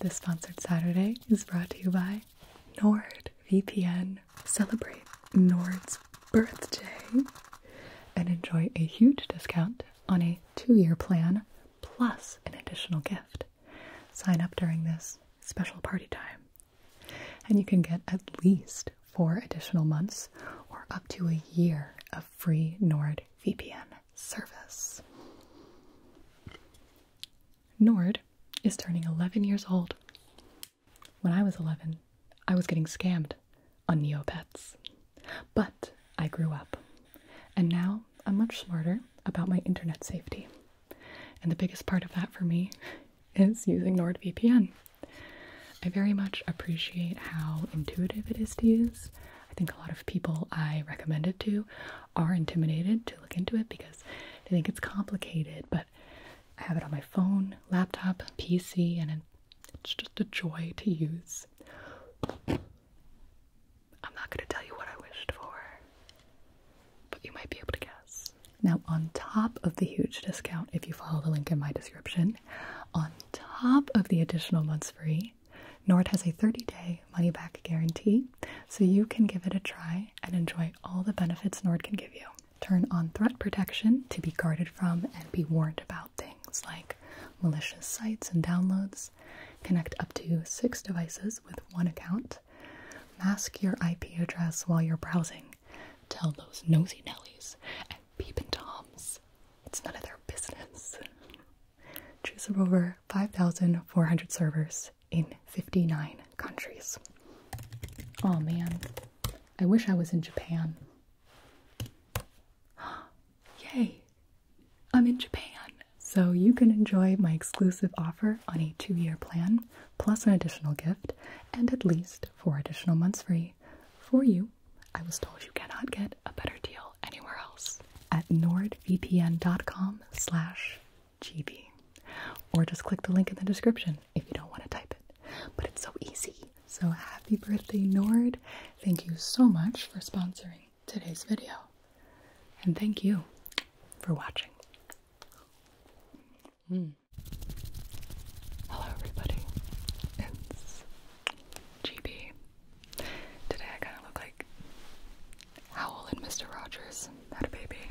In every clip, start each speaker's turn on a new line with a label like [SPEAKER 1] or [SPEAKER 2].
[SPEAKER 1] This sponsored Saturday is brought to you by NordVPN. Celebrate Nord's birthday and enjoy a huge discount on a two-year plan plus an additional gift. Sign up during this special party time. And you can get at least four additional months or up to a year of free NordVPN service. Nord is turning 11 years old. When I was 11, I was getting scammed on Neopets. But I grew up. And now I'm much smarter about my internet safety. And the biggest part of that for me is using NordVPN. I very much appreciate how intuitive it is to use, I think a lot of people I recommend it to are intimidated to look into it because they think it's complicated, but I have it on my phone, laptop, PC, and it's just a joy to use. I'm not going to tell you what I wished for, but you might be able to guess. Now, on top of the huge discount, if you follow the link in my description, on top of the additional months free, Nord has a 30 day money back guarantee, so you can give it a try and enjoy all the benefits Nord can give you. Turn on threat protection to be guarded from and be warned about things like malicious sites and downloads. Connect up to six devices with one account. Mask your IP address while you're browsing. Tell those nosy Nellies and peepin' Toms it's none of their business choose from over 5,400 servers in 59 countries. Oh man, I wish I was in Japan. Yay, I'm in Japan! So you can enjoy my exclusive offer on a two year plan, plus an additional gift, and at least four additional months free. For you, I was told you cannot get a better deal anywhere else at nordvpn.com/gb, or just click the link in the description if you don't want to type it. But it's so easy. So happy birthday, Nord! Thank you so much for sponsoring today's video, and thank you for watching. Hmm. Hello, everybody. It's GB. Today I kind of look like Howl and Mr. Rogers had a baby.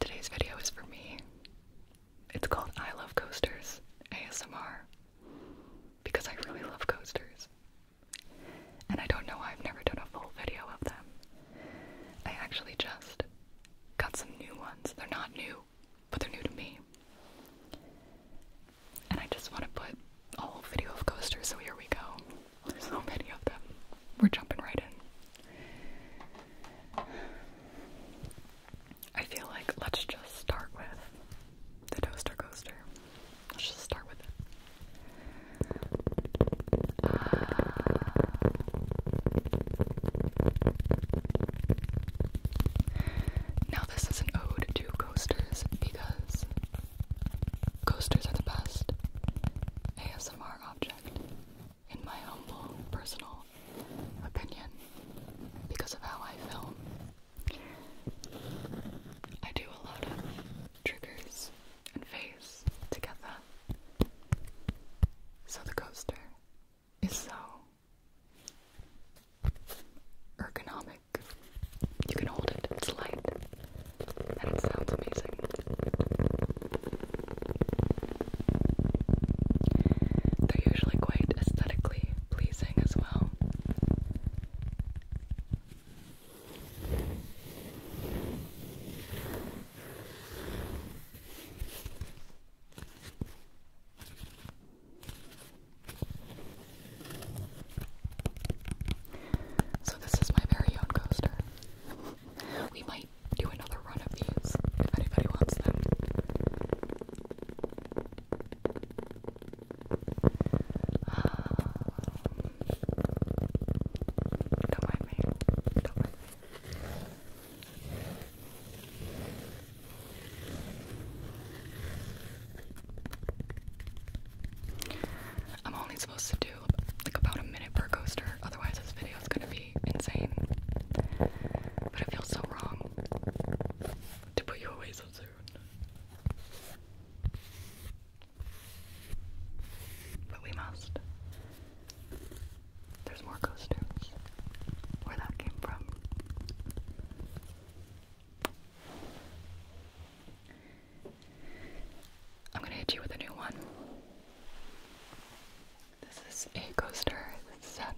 [SPEAKER 1] Today's video is for me. It's called I Love Coasters ASMR because I really love coasters. And I don't know why I've never done a full video of them. I actually just got some new ones. They're not new, but they're new to me. And I just want to put all video of coasters, so here we go. There's so many of them. We're jumping right in. I feel like let's just start with the toaster coaster. Let's just start with it. Uh, now, this is an ode coasters because coasters are the best ASMR object, in my humble personal opinion, because of how I film. I do a lot of triggers and face together, so the coaster is so ergonomic. You can hold it, it's light, and it sounds amazing. They're usually quite aesthetically pleasing as well. So this is my very own coaster. we might do another run of these if anybody wants them. Ah. don't mind me. Don't mind I'm only supposed to do like about a minute per coaster, otherwise this video is gonna be insane. But it feels so wrong to put you away so soon. But we must. There's more coasters. Where that came from. I'm gonna hit you with a new one. This is a coaster set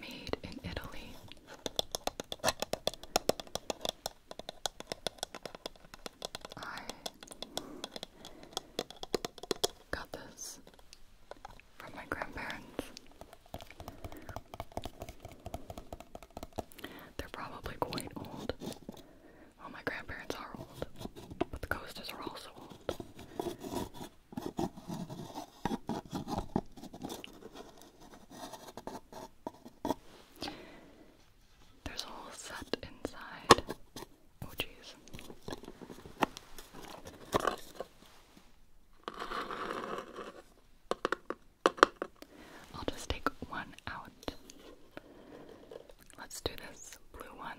[SPEAKER 1] made in Italy. I got this from my grandparents. They're probably quite old. Well, my grandparents are old, but the coasters are also old. There's a whole set inside. Oh, jeez. I'll just take one out. Let's do this blue one.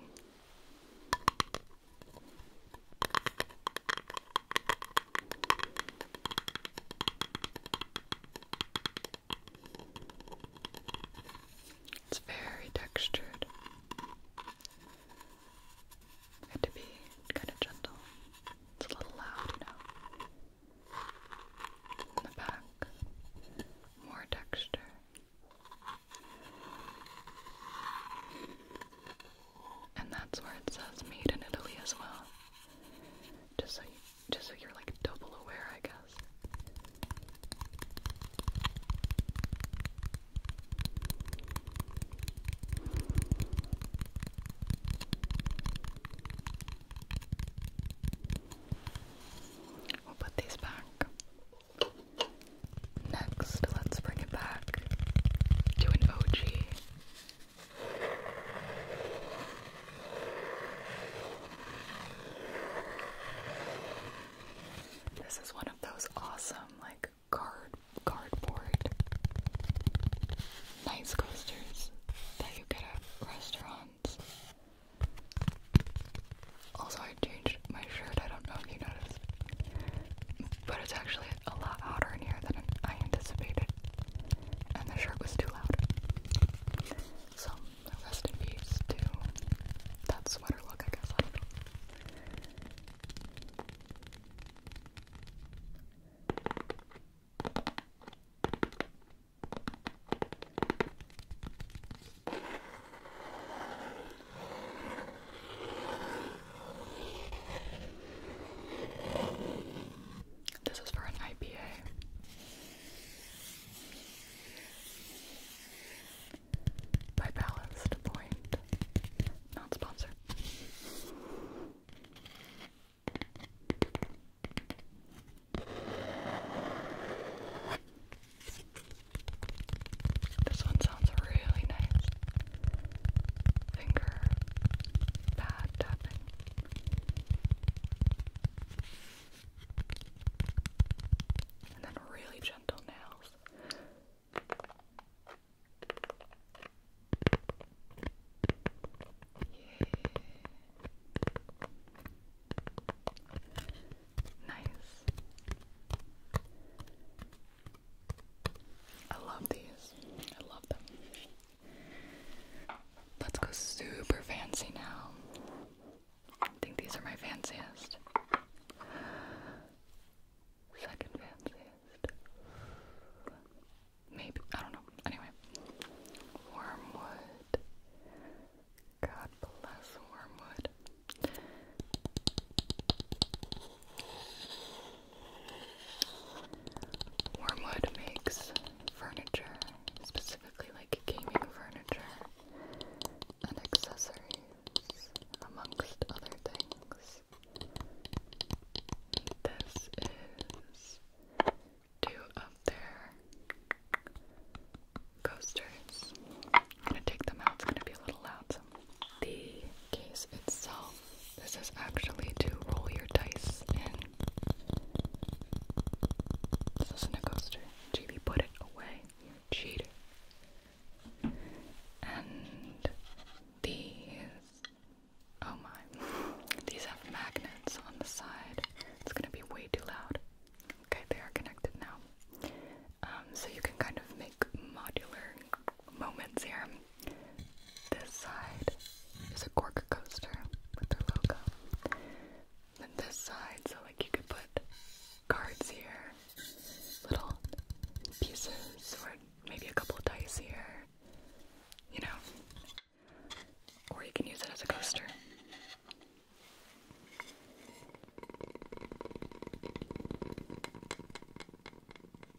[SPEAKER 1] It's very textured. I to be kind of gentle. It's a little loud, you know. In the back, more texture and that's where it says made in Italy as well. Just so, just so you're like double aware, I guess. We'll put these back. Next, let's bring it back to an OG. This is one of those awesome, like, card cardboard nice coasters that you get at restaurants. Also, I changed my shirt. I don't know if you noticed, but it's actually a lot hotter in here than I anticipated, and the shirt was too loud. So, rest in peace to that sweater look, I guess. This is for an IPA. By Ballast Point. Not sponsored. This one sounds really nice finger pad tapping. And then really gentle nails. Yeah. Nice. I love these. I love them. Let's go super fancy now. I think these are my fanciest. Second fanciest. Maybe. I don't know. Anyway. Wormwood. God bless Wormwood. Wormwood makes furniture, specifically like gaming furniture and accessories, amongst other things. This is two of their coasters. I'm gonna take them out, it's gonna be a little loud, so I'm the case itself. This is actually to roll your dice in. This is a coaster. Chibi put it away. You And these. Oh my. These have magnets on the side. It's gonna be way too loud. Okay, they are connected now. Um, so you can kind of make modular moments here. This side is a cork coaster with their logo. Then this side, so like you could put cards here, little pieces, or maybe a couple of dice here, you know. Or you can use it as a coaster. I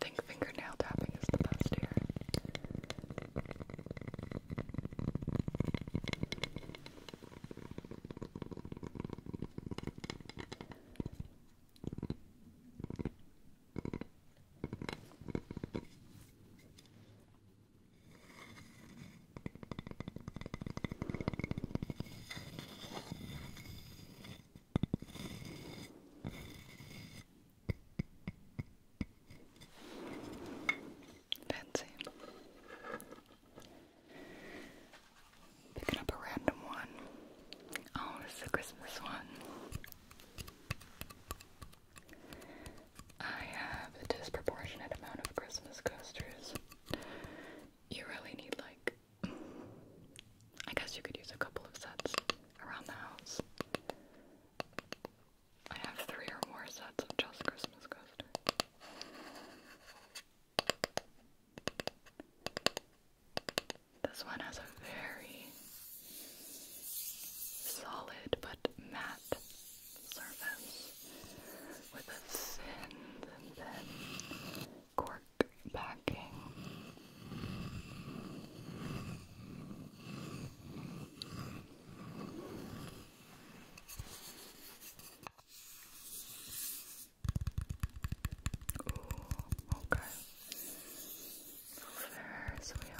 [SPEAKER 1] think fingernail tapping is the best here. Fancy. Picking up a random one. Oh, this is Christmas one. I have a disproportionate amount of Christmas coasters. You really need, like, I guess you could use a couple of sets around the house. I have three or more sets of just Christmas coasters. This one has a very solid but matte surface with a thin, thin, thin cork backing. Ooh, okay. First we all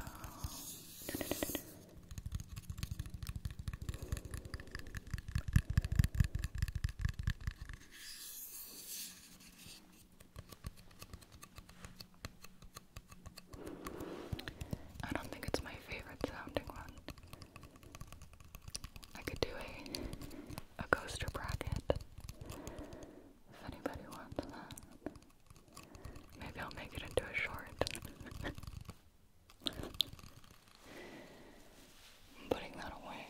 [SPEAKER 1] I don't think it's my favorite sounding one. I could do a, a coaster bracket if anybody wants that. Maybe I'll make it into a short. putting that away.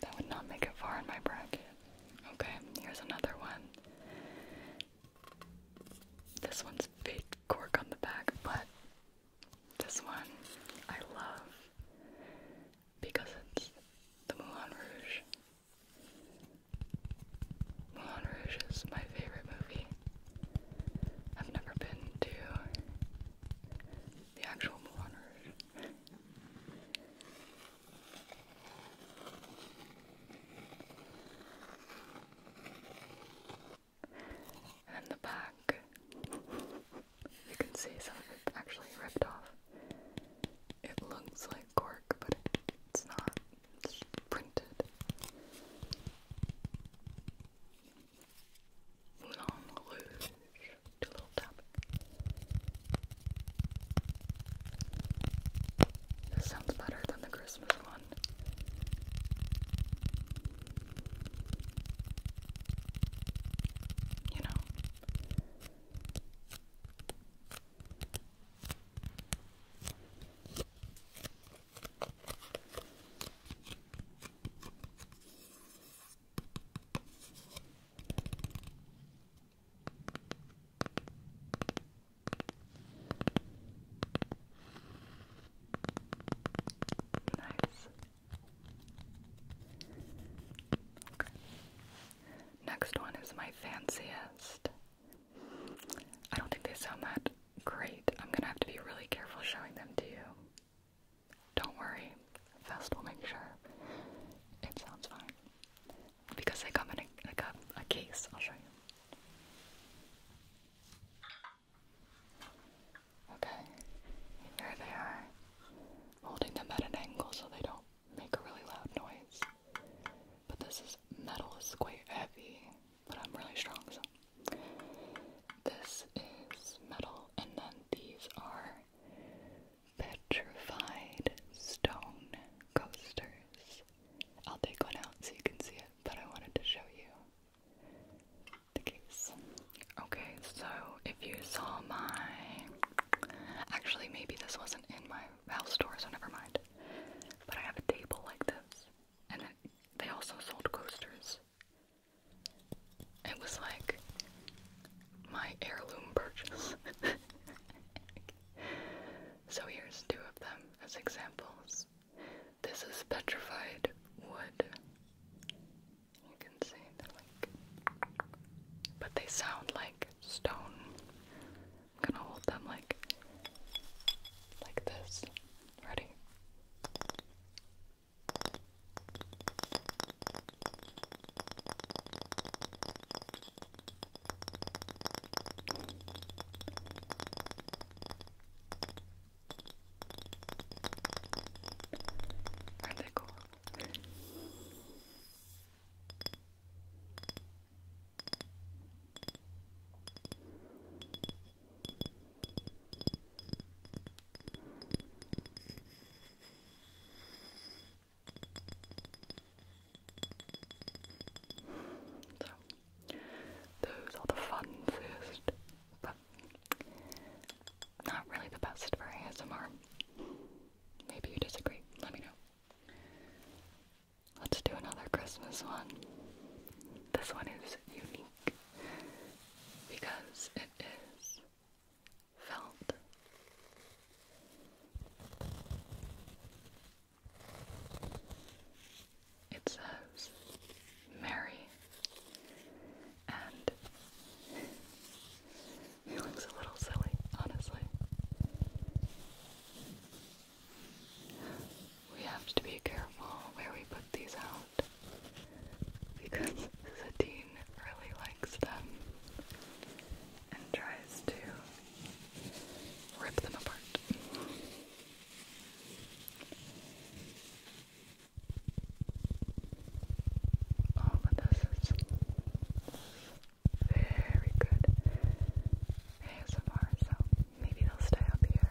[SPEAKER 1] That would not make it far in my bracket. Okay, here's another one. This one's cork on the back, but this one I love because it's the Moulin Rouge. Moulin Rouge is my favorite movie. I've never been to the actual Moulin Rouge. and the back you can see some of it actually ripped off. It looks like cork, but it's not. It's printed. This sounds better than the Christmas one. You know. Nice. Next one is my fanciest. I don't think they sound that great. I'm gonna have to be really careful showing them to you. Don't worry, Fest will make sure it sounds fine. Because they come in like a case, I'll show you. Okay, here they are, holding them at an angle so they don't make a really loud noise. But this is metal is quite heavy, but I'm really strong, so this is metal, and then these are petrified stone coasters. I'll take one out so you can see it, but I wanted to show you the case. Okay, so if you saw my. Actually, maybe this wasn't in my house store, so never mind. But I have a table like this, and it, they also sold coasters. It was like my heirloom purchase. so here's two of them as examples. This is petrified wood, you can see they but they sound like stone. I'm gonna hold them like, like this. Ready? Are they cool? So, those are the fanciest not really the best for ASMR. Maybe you disagree. Let me know. Let's do another Christmas one. This one is unique because it is felt. It says Merry and he looks a little silly, honestly. We have to be careful where we put these out because Satine really likes them and tries to rip them apart. Oh, but this is very good ASMR, so maybe they'll stay up here.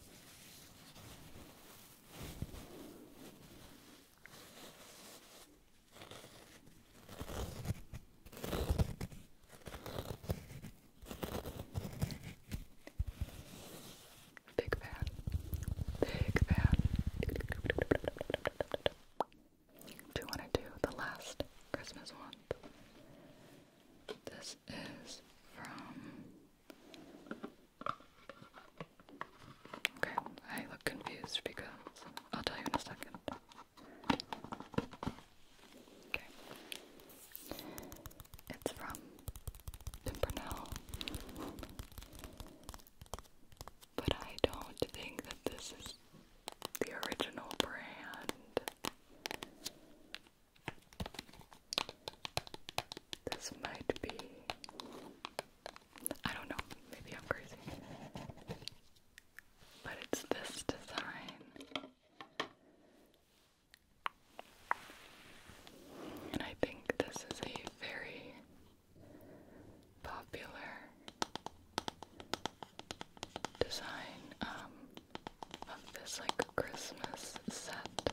[SPEAKER 1] Big fan. Big fan. Do you want to do the last Christmas one? This is from. Okay, I look confused because I'll tell you in a second. Okay. It's from Pimpernel. But I don't think that this is the original brand. This might be. I don't know, maybe I'm crazy. But it's this design. And I think this is a very popular design. Um, of this like Christmas set.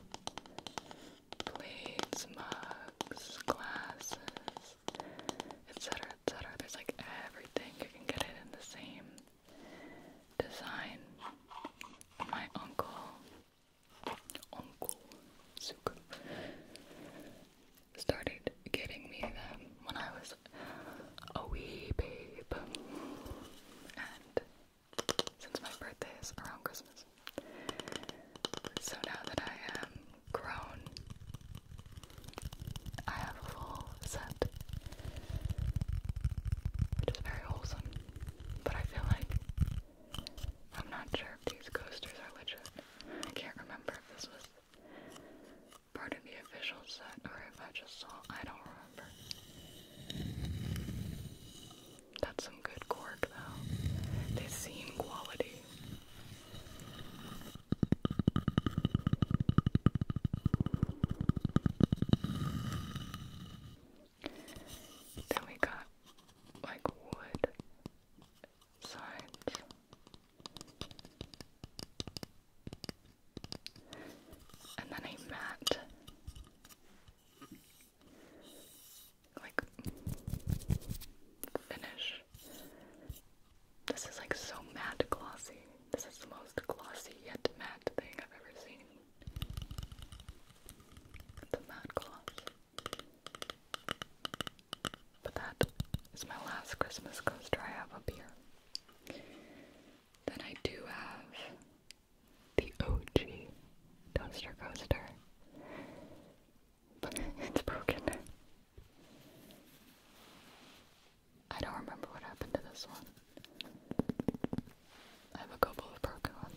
[SPEAKER 1] Plates, mugs, glasses, etc. etc. There's like everything. You can get it in the same design. My uncle Uncle Zuko started getting me them when I was a wee babe. And since my birthday is around Christmas. So now that I am grown, I have a full set, which is very wholesome. But I feel like I'm not sure if these coasters are legit. I can't remember if this was part of the official set or if I just saw. I don't remember. That's some good cork, though. They seem quality. Then we got like wood sides and then a matte, like, finish. This is like so matte glossy. This is the most glossy yet matte thing I've ever seen. The matte gloss. But that is my last Christmas coaster I have up here. Then I do have the OG toaster coaster. But it's broken. I don't remember what happened to this one. I have a couple of broken ones.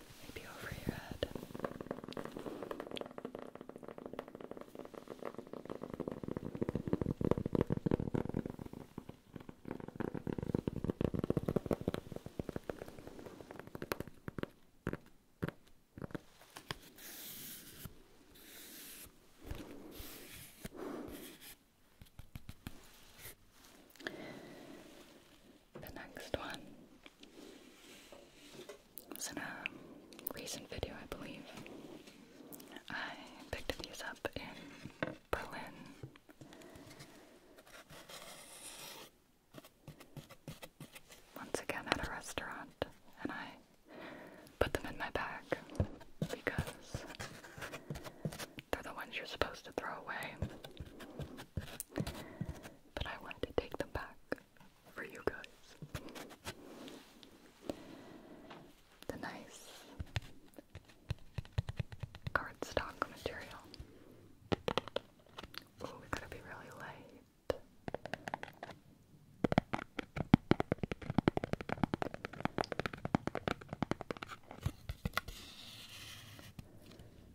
[SPEAKER 1] maybe over your head the next one was in a recent video, I believe. I picked these up in Berlin. Once again at a restaurant, and I put them in my bag because they're the ones you're supposed to throw away. But I wanted to take them back for you guys. The nice cardstock material. we gotta be really light.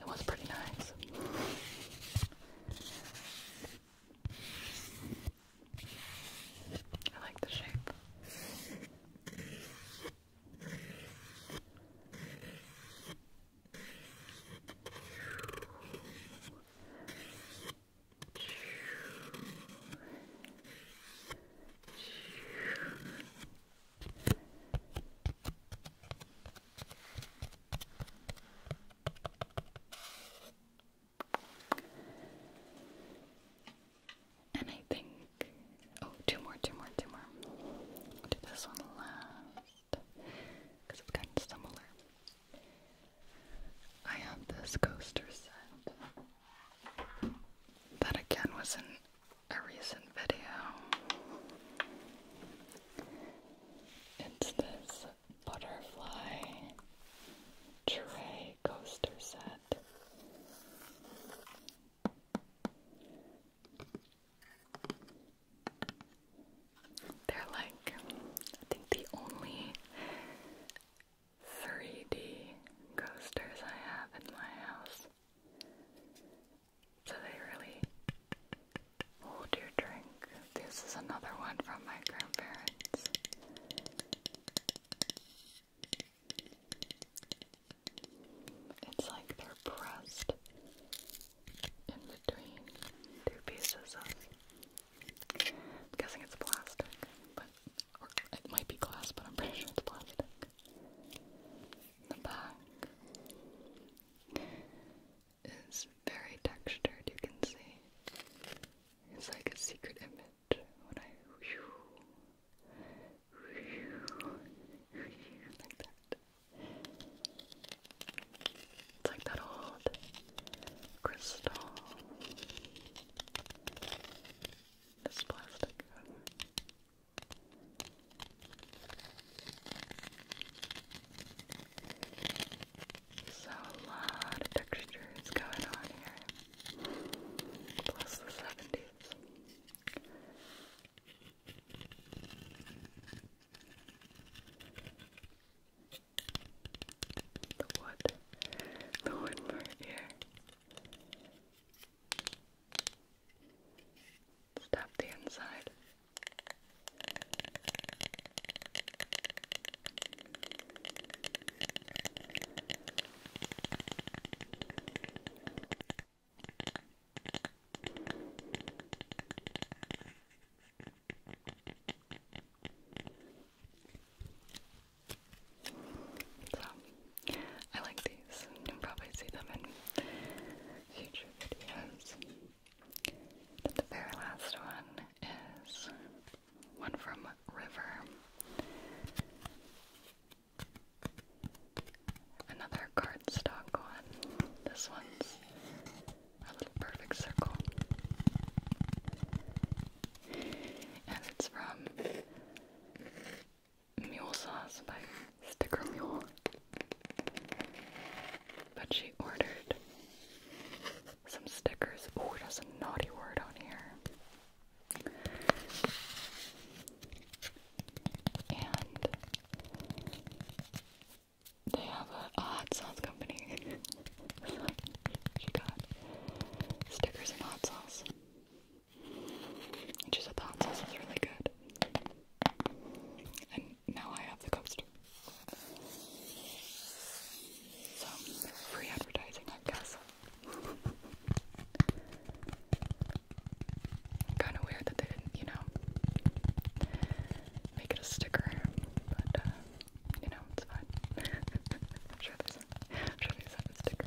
[SPEAKER 1] It was pretty nice. I like the shape. And I think, oh, two more, two more, two more. do this one last because it's kind of similar. I have this coaster set that again was not a recent video. It's this butterfly tray coaster set. They're like, I think the only 3D coasters I have in my house. So they really hold your drink. This is another one from my grandparents. It's like they're pressed in between two pieces of. guessing it's plastic, but it might be glass, but I'm pretty sure it's plastic. The back is very textured, you can see. It's like a secret image when I like that. It's like that old crystal. This plastic. So a lot of textures going on here. Plus the seventies. The wood. The wood here. Stop the inside. So, I like these. You'll probably see them in future videos the very last one is one from River. Another cardstock one. This one's a little perfect circle. And it's from Mule Sauce by sticker mule. But she ordered some stickers. Oh, it has a naughty word on here. And they have a hot sauce company. she got stickers and hot sauce. And she said hot sauce is really good now I have the coaster. So, free advertising, I guess. Kinda weird that they didn't, you know, make it a sticker, but, uh, you know, it's fine. I'm sure there's a, I'm sure a sticker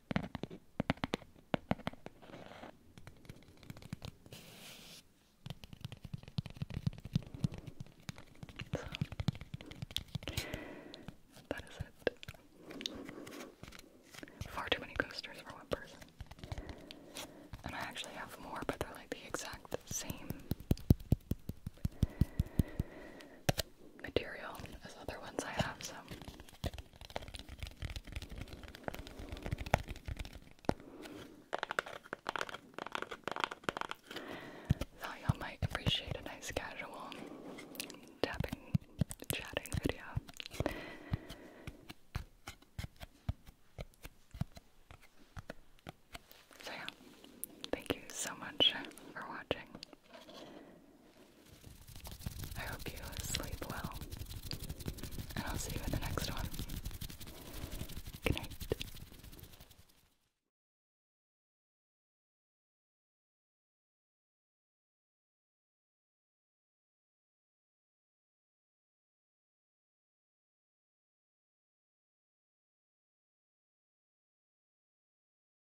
[SPEAKER 1] that is it. Far too many coasters for one person. And I actually have more, but they're like the exact same material as other ones I have, so. Thought y'all might appreciate a nice casual tapping, chatting video. So yeah, thank you so much for watching. I hope you sleep well, and I'll see you in the next one. Good